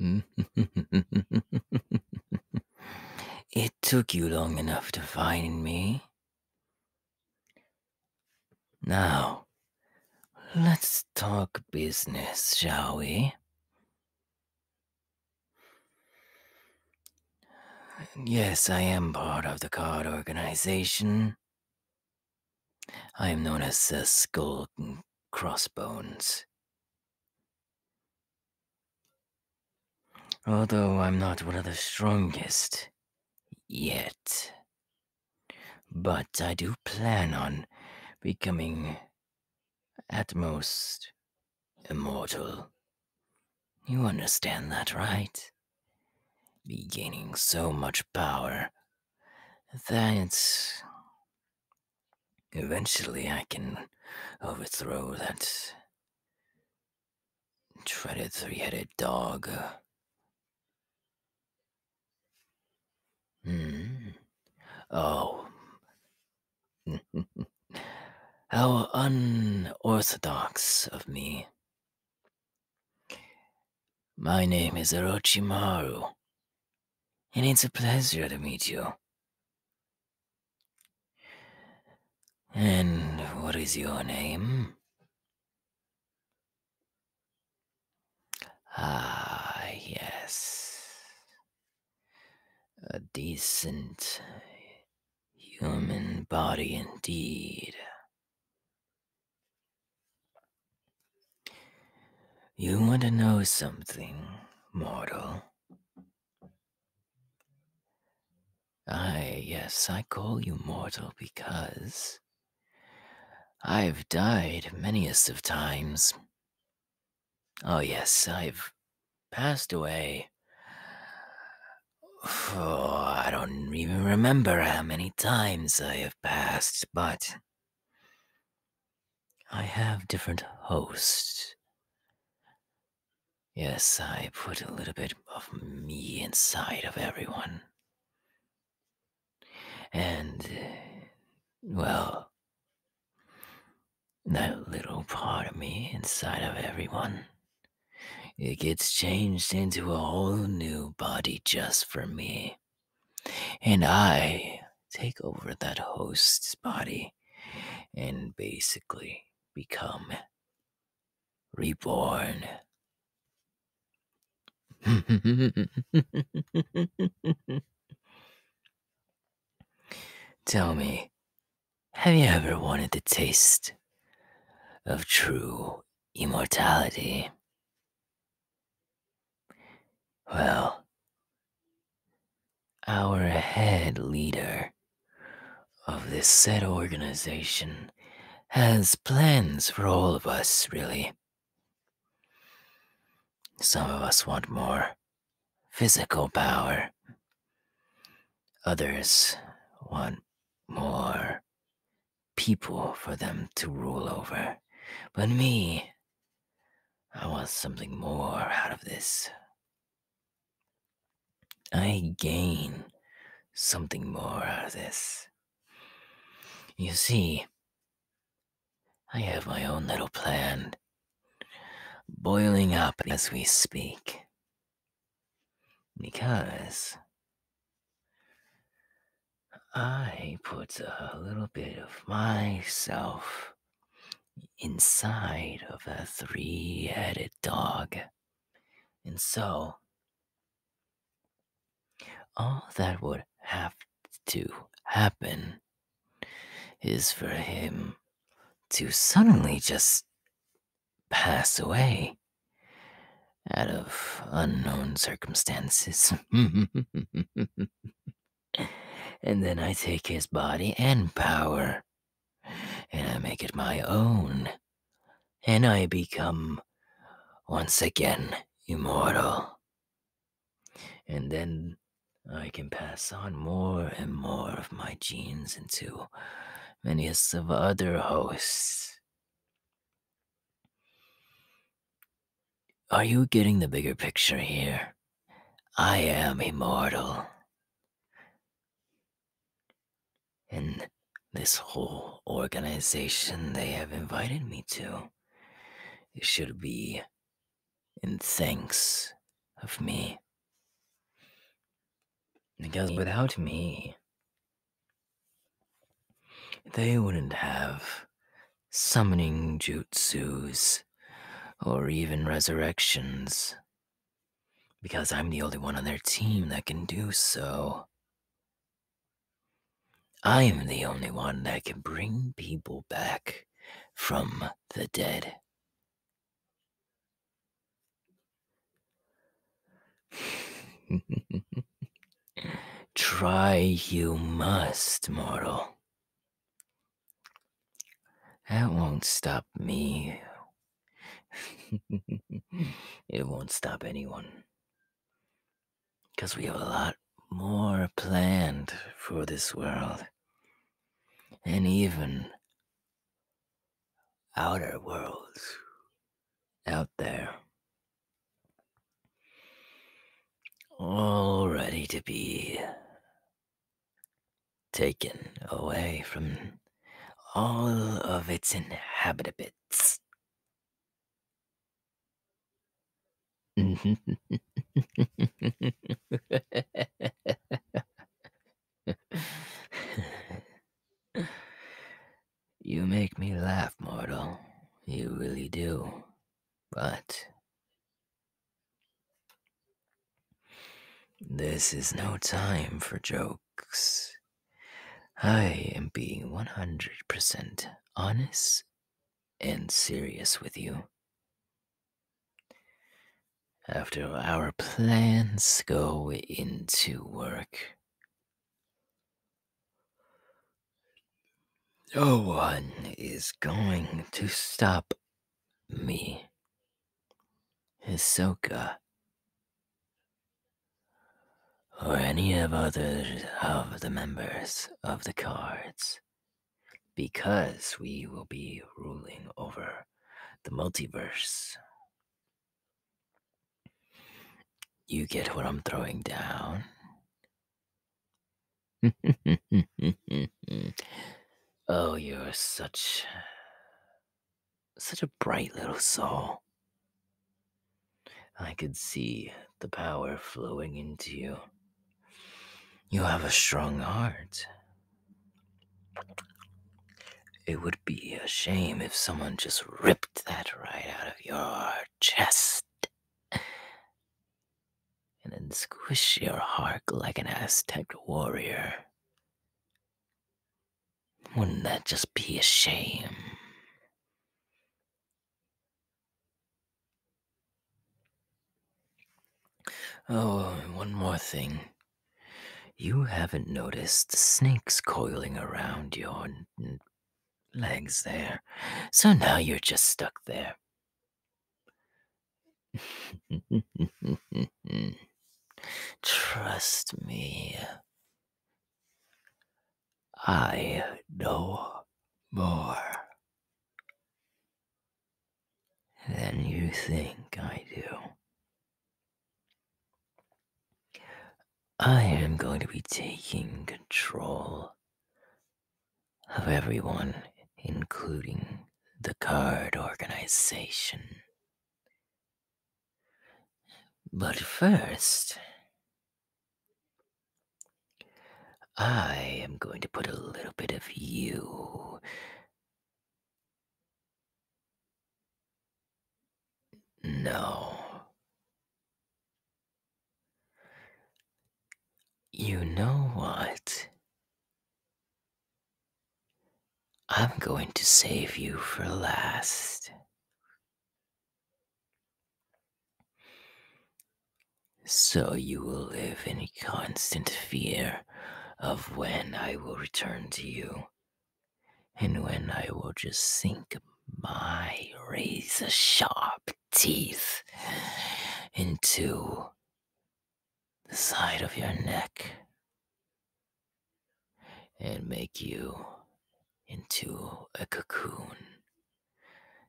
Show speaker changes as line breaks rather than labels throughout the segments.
it took you long enough to find me. Now, let's talk business, shall we? Yes, I am part of the card organization. I am known as the Skull Crossbones. Although I'm not one of the strongest yet, but I do plan on becoming at most immortal. You understand that, right? be gaining so much power that eventually I can overthrow that dreaded three headed dog. Hmm. Oh. How unorthodox of me. My name is Orochimaru, and it's a pleasure to meet you. And what is your name? Ah, yes. A decent human body indeed. You want to know something, mortal? Ah, yes, I call you mortal because I've died many a of times. Oh, yes, I've passed away I don't even remember how many times I have passed, but I have different hosts. Yes, I put a little bit of me inside of everyone. And, uh, well, that little part of me inside of everyone it gets changed into a whole new body just for me. And I take over that host's body and basically become reborn. Tell me, have you ever wanted the taste of true immortality. Well, our head leader of this said organization has plans for all of us, really. Some of us want more physical power, others want more people for them to rule over. But me, I want something more out of this. I gain something more out of this. You see, I have my own little plan boiling up as we speak because I put a little bit of myself inside of a three headed dog. And so, all that would have to happen is for him to suddenly just pass away out of unknown circumstances. and then I take his body and power, and I make it my own, and I become once again immortal. And then I can pass on more and more of my genes into many of other hosts. Are you getting the bigger picture here? I am immortal. And this whole organization they have invited me to should be in thanks of me. Because without me, they wouldn't have summoning jutsus or even resurrections because I'm the only one on their team that can do so. I am the only one that can bring people back from the dead. Try you must, mortal. That won't stop me. it won't stop anyone. Because we have a lot more planned for this world. And even outer worlds out there all ready to be taken away from all of its inhabitants. You make me laugh, mortal. You really do. But. This is no time for jokes. I am being 100% honest and serious with you. After our plans go into work, no one is going to stop me. Hisoka. Or any of others of the members of the cards. Because we will be ruling over the multiverse. You get what I'm throwing down? oh, you're such such a bright little soul. I could see the power flowing into you. You have a strong heart. It would be a shame if someone just ripped that right out of your chest. And then squish your heart like an Aztec warrior. Wouldn't that just be a shame? Oh, one more thing. You haven't noticed snakes coiling around your legs there. So now you're just stuck there. Trust me. I know more than you think I do. I am going to be taking control of everyone, including the card organization. But first, I am going to put a little bit of you no. You know what? I'm going to save you for last. So you will live in constant fear of when I will return to you and when I will just sink my razor sharp teeth into the side of your neck and make you into a cocoon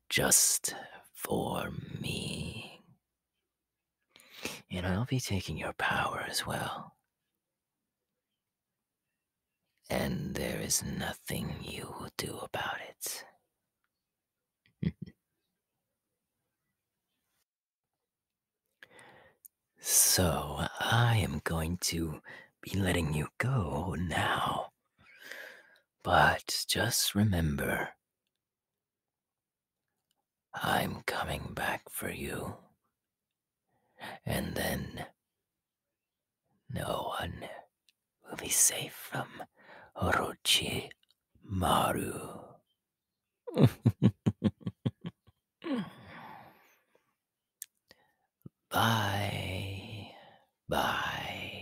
just for me. And I'll be taking your power as well. And there is nothing you will do about it. so I am going to be letting you go now. But just remember, I'm coming back for you. And then no one will be safe from Orochi Maru. bye. Bye.